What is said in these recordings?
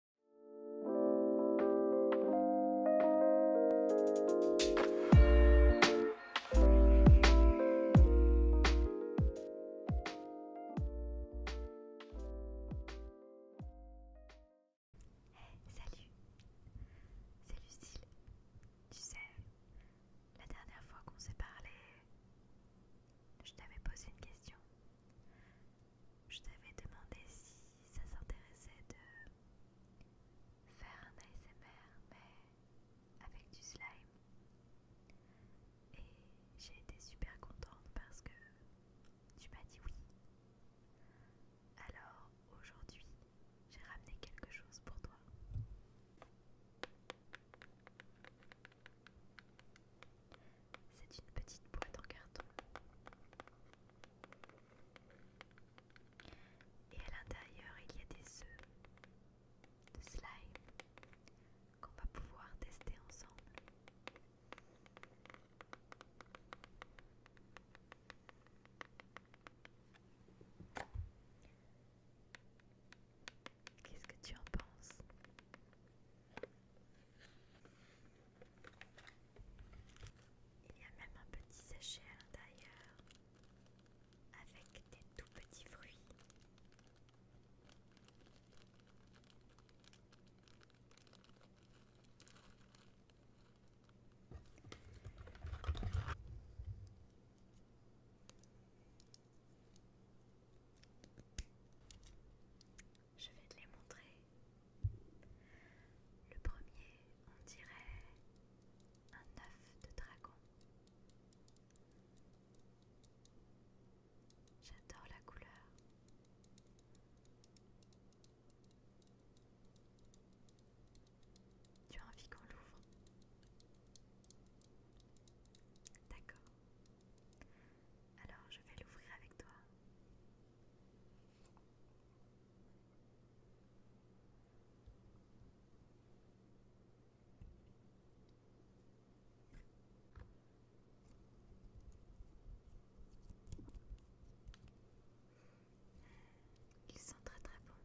Salut, c'est Lucille. Tu sais, la dernière fois qu'on s'est parlé, je t'avais posé une question je t'avais demandé si ça s'intéressait de faire un ASMR mais avec du slime. Et j'ai été super contente parce que tu m'as dit oui. Alors aujourd'hui, j'ai ramené quelque chose pour toi. C'est une petite boîte en carton. Et à l'intérieur, il y a des œufs de slime qu'on va pouvoir tester ensemble. Qu'est-ce que tu en penses il y a même un petit sachet à l'intérieur avec des tout petits fruits je vais te les montrer. Le premier, on dirait un œuf de dragon. J'adore la couleur. Tu as envie qu'on l'ouvre D'accord. Alors je vais l'ouvrir avec toi. Ils sont très très bons.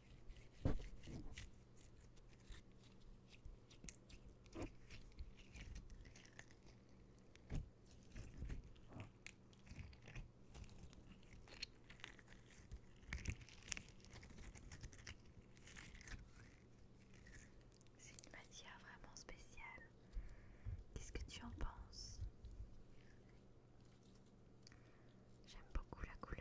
C'est une matière vraiment spéciale. Qu'est-ce que tu en penses J'aime beaucoup la couleur.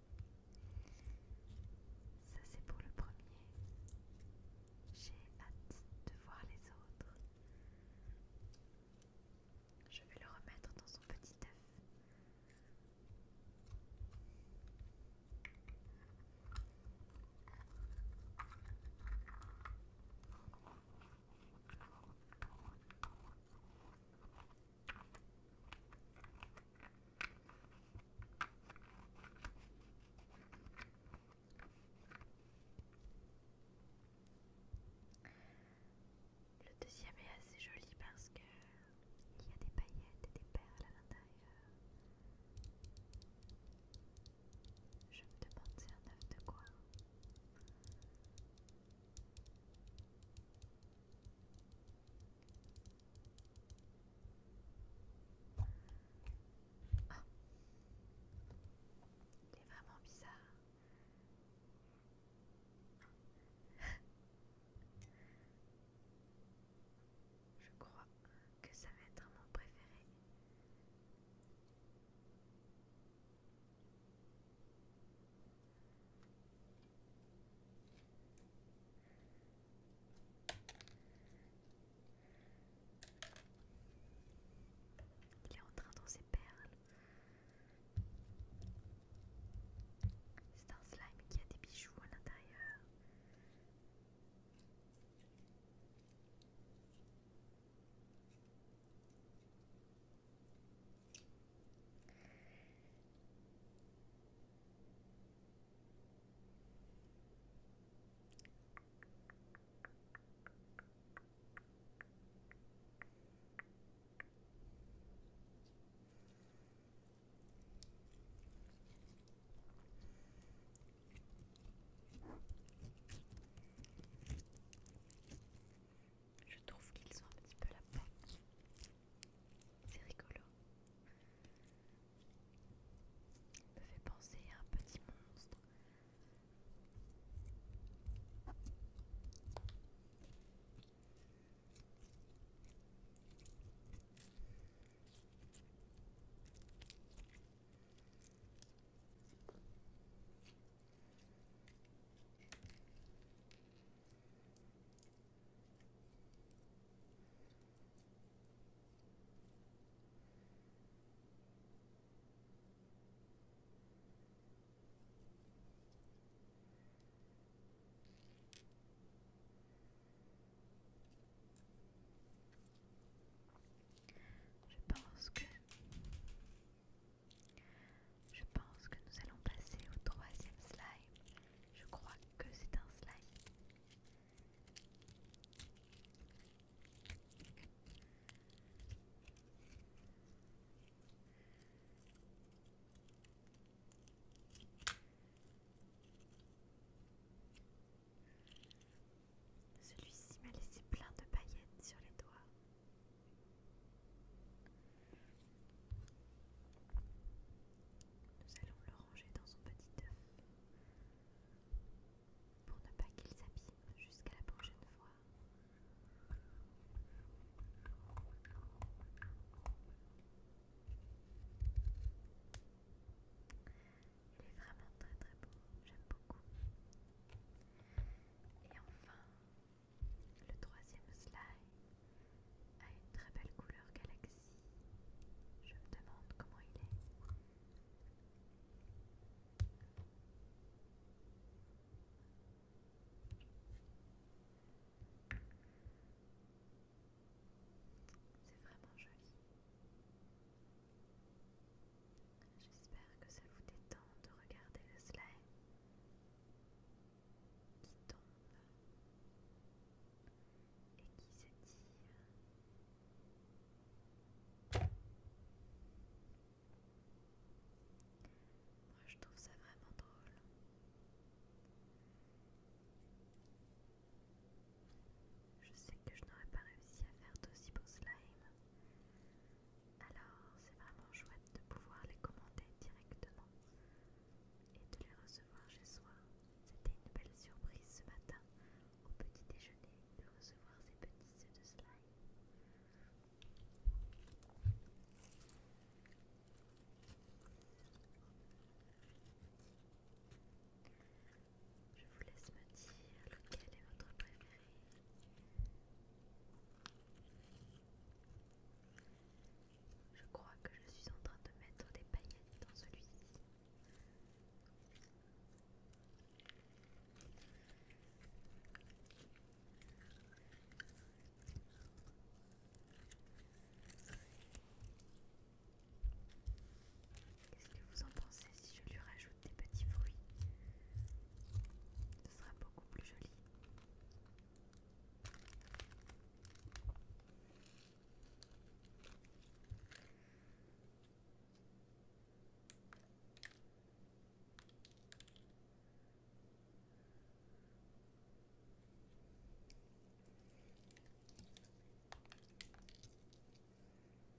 Ça c'est pour le premier. J'ai hâte de voir les autres. Je vais le remettre dans son petit œuf. Le deuxième est assez joli parce que il y a des paillettes et des perles à l'intérieur. Je me demande c'est un œuf de quoi. C'est est vraiment bizarre. Je crois que ça va être mon préféré. Il est en train dans ses perles. C'est un slime qui a des bijoux à l'intérieur. Je trouve qu'ils ont un petit peu la peine c'est rigolo. Il me fait penser à un petit monstre. Je pense que je pense que nous allons passer au troisième slime. Je crois que c'est un slime. Celui-ci m'a laissé plein de paillettes sur les doigts. Nous allons le ranger dans son petit œuf pour ne pas qu'il s'abîme jusqu'à la prochaine fois. Il est vraiment très très beau, j'aime beaucoup. Et enfin, le troisième slide a une très belle couleur galaxie. Je me demande comment il est. C'est vraiment joli. J'espère que ça vous détend de regarder le slime qui tombe et qui s'étire. Moi je trouve ça vraiment drôle. Je sais que je n'aurais pas réussi à faire d'aussi beau slime alors c'est vraiment chouette de pouvoir les commander directement et de les recevoir chez soi. C'était une belle surprise ce matin au petit déjeuner de recevoir ces petits œufs de slime. Je vous laisse me dire lequel est votre préféré. Je crois que je suis en train de mettre des paillettes dans celui-ci. Qu'est-ce que vous en pensez si je lui rajoute des petits fruits. Ce sera beaucoup plus joli.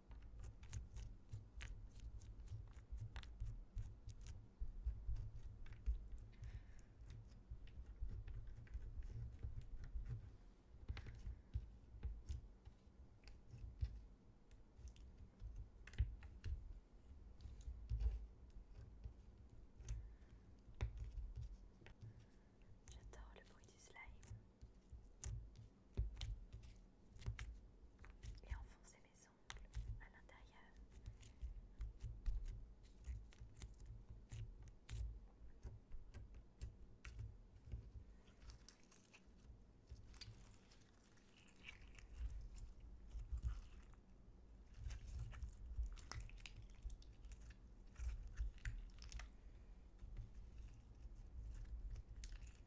J'adore le bruit du slime et enfoncer mes ongles à l'intérieur.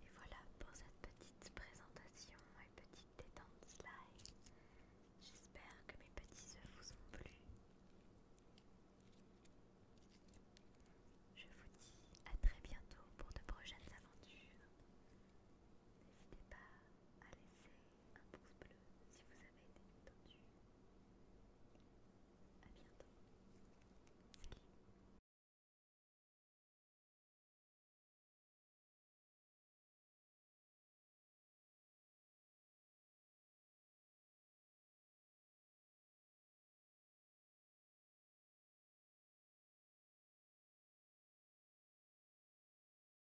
Et voilà pour cette petite présentation et petite détente slide. J'espère que mes petits œufs vous ont plu. Je vous dis à très bientôt pour de prochaines aventures. N'hésitez pas à laisser un pouce bleu si vous avez été entendu. A bientôt. Salut